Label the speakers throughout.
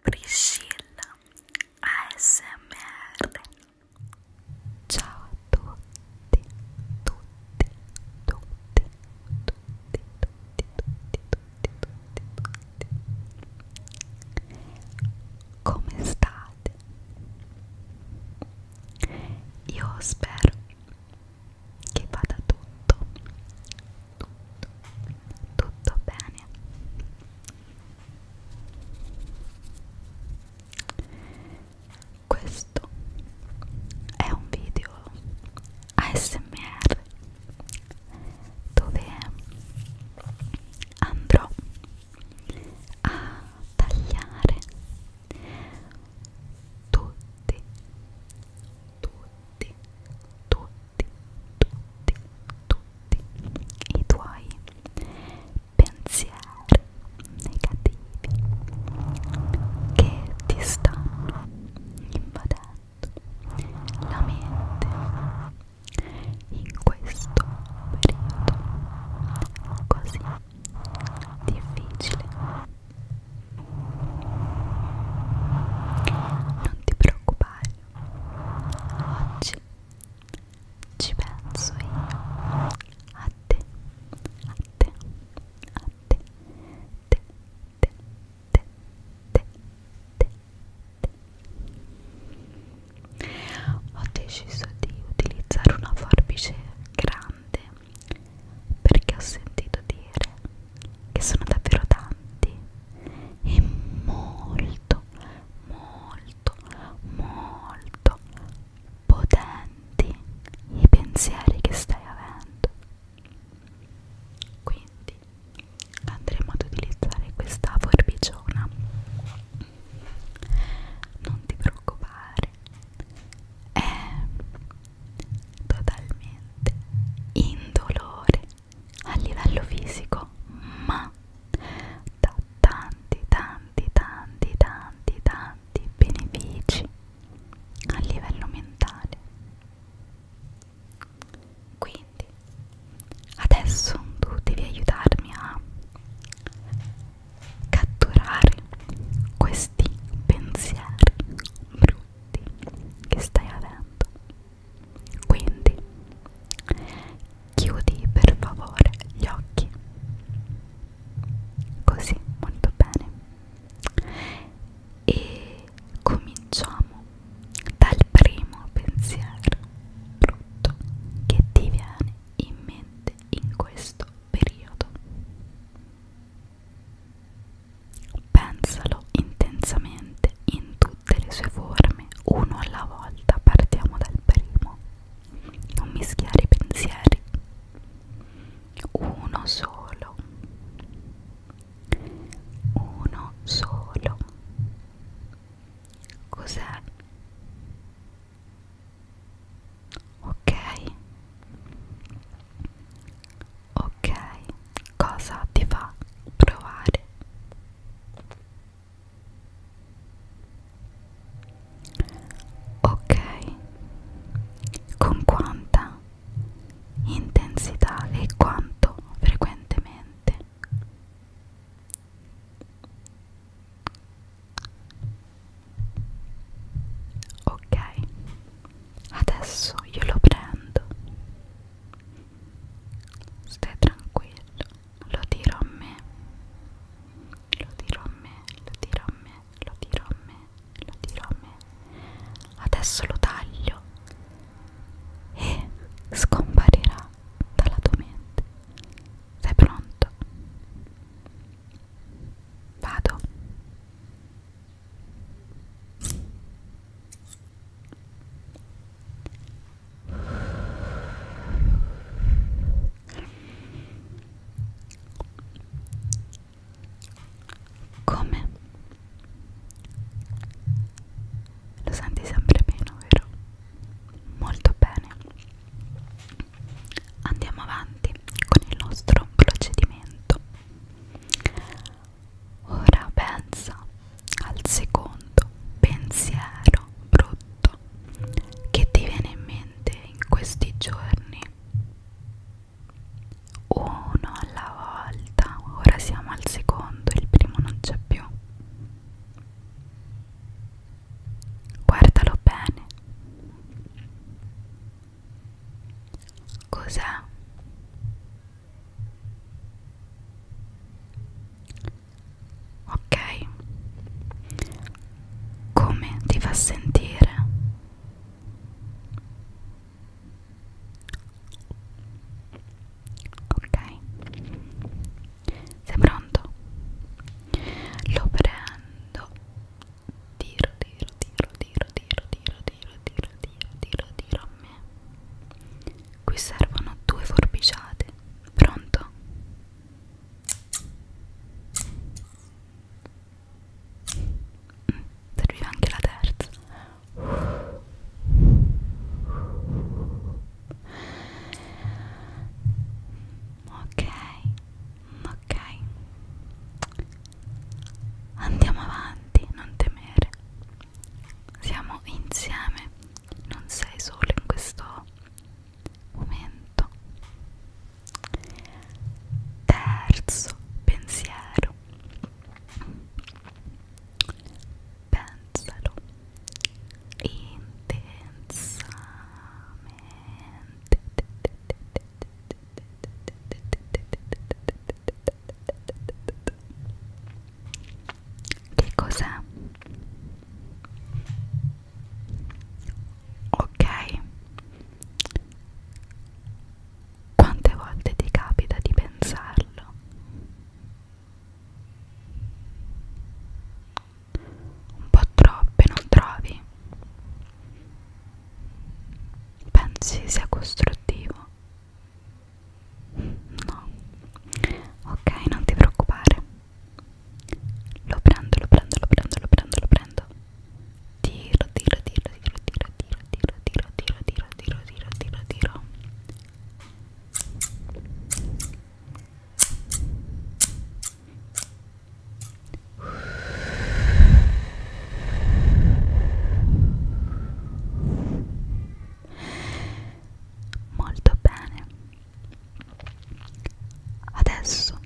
Speaker 1: Priscilla ASMR Ciao a tutti, tutti, tutti, tutti, tutti, tutti, tutti, tutti. Come state? Io spero che vada tutto tutto, tutto bene questo è un video ASMR dove andrò a tagliare tutti tutti tutti tutti, tutti i tuoi pensieri negativi che ti stanno invadendo la mente in questo periodo così difficile non ti preoccupare, oggi ci penso io a te, a te, a te, te, te, te, te, te, te. Ho deciso di utilizzare una forbice grande perché ho sentito dire che sono davvero tanti e molto, molto, molto potenti i pensieri che stai avendo. Quindi andremo ad utilizzare questa forbiciona. Non ti preoccupare, è totalmente indolore a livello fisico ma da tanti tanti tanti tanti tanti benefici a livello mentale quindi adesso tu devi aiutarmi a catturare questi pensieri brutti aiuti che stai avendo quindi chiudi per favore gli occhi così molto bene e cominciamo dal primo pensiero brutto che ti viene in mente in questo periodo Pensalo intensamente in tutte le sue forme, uno alla volta, partiamo dal primo. Non mischiare i pensieri. Uno solo. Uno solo. Cos'è? Ok. Ok, cosa ti fa provare? Ok, con quanta intensità e quanto frequentemente? Ok, adesso io lo prendo. Stai tranquillo, lo dirò a me. Lo dirò a me, lo dirò a me, lo dirò a me, lo dirò a me. Adesso lo taglio e scomparirà dalla tua mente. Sei pronto? Vado. Come? Lo senti sempre meno, vero? Molto bene andiamo avanti con il nostro procedimento ora pensa al secondo pensiero brutto che ti viene in mente in questi giorni uno alla volta ora siamo al secondo il primo non c'è più Guardalo bene. Cos'è? Ok. Come ti fa sentire? Ok. Sei pronto? Lo prendo. Tiro, tiro, tiro, tiro, tiro, tiro, tiro, tiro, tiro, tiro, tiro a me. Qui servono due forbiciate. Pronto? Mm, serviva anche la terza ok ok andiamo avanti non temere siamo insieme non sei solo in questo momento terzo pensiero pensalo intensamente che cos'è? ok quante volte ti capita di pensarlo? Un po' troppe, non trovi? Pensi sia costruttivo? No. Ok, non ti preoccupare. Lo prendo, lo prendo, lo prendo, lo prendo, lo prendo. Tiro, tiro, tiro, tiro, tiro, tiro, tiro, tiro, tiro, tiro, tiro, tiro, tiro, tiro. Molto bene. Adesso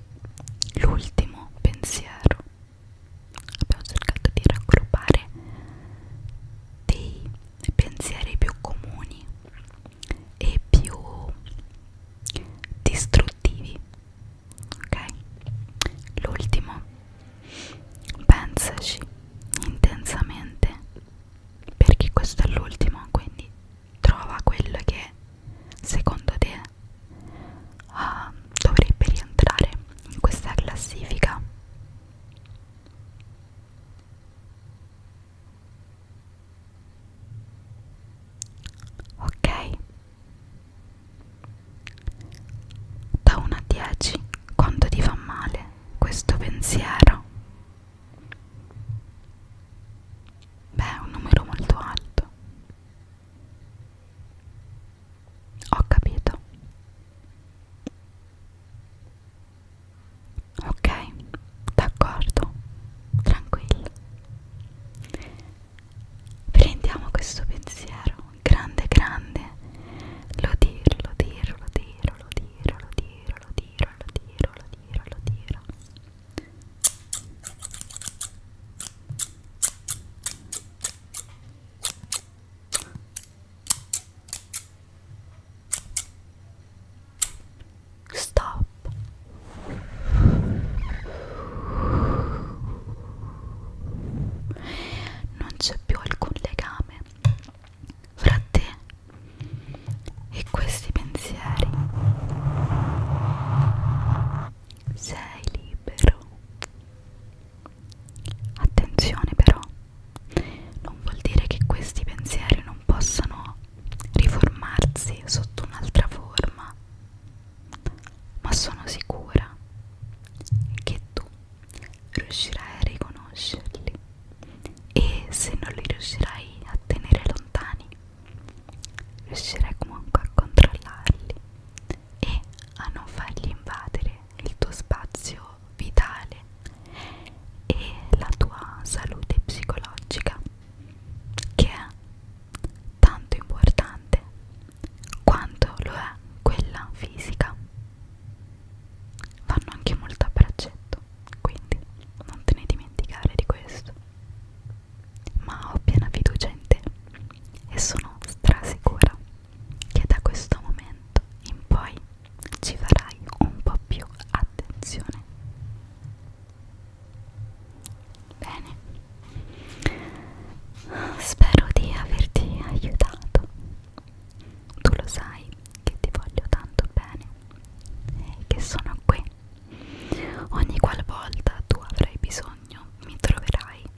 Speaker 1: l'ultimo pensiero. Abbiamo cercato di raggruppare dei pensieri più comuni e più distruttivi ok l'ultimo pensaci intensamente perché questo è l'ultimo quindi trova quello che secondo te uh, dovrebbe rientrare in questa classifica Ok. Da 1 a 10 quanto ti fa male questo pensiero? Beh, è un numero molto alto. Ho capito. Ok, d'accordo, tranquillo. Prendiamo questo pensiero, grande, grande. Lo tiro, lo tiro, lo tiro, lo tiro, lo tiro, lo tiro, lo tiro, lo tiro, lo tiro. Stop. Non c'è più alcun legame fra te e questi pensieri. Sei libero. Attenzione però, non vuol dire che questi pensieri non possano riformarsi sotto un'altra forma, ma sono sicura che tu riuscirai a riconoscerli e se non li riuscirai a tenere lontani, riuscirai comunque a controllarli e a non fargli invadere il tuo spazio vitale e la tua salute psicologica che è tanto importante quanto lo è quella fisica vanno anche molto a braccetto quindi non te ne dimenticare di questo ma ho piena fiducia in te e sono strasicura che da questo momento in poi ci farai un po' più attenzione. Bene, spero di averti aiutato. Tu lo sai che ti voglio tanto bene e che sono qui. Ogni qualvolta tu avrai bisogno mi troverai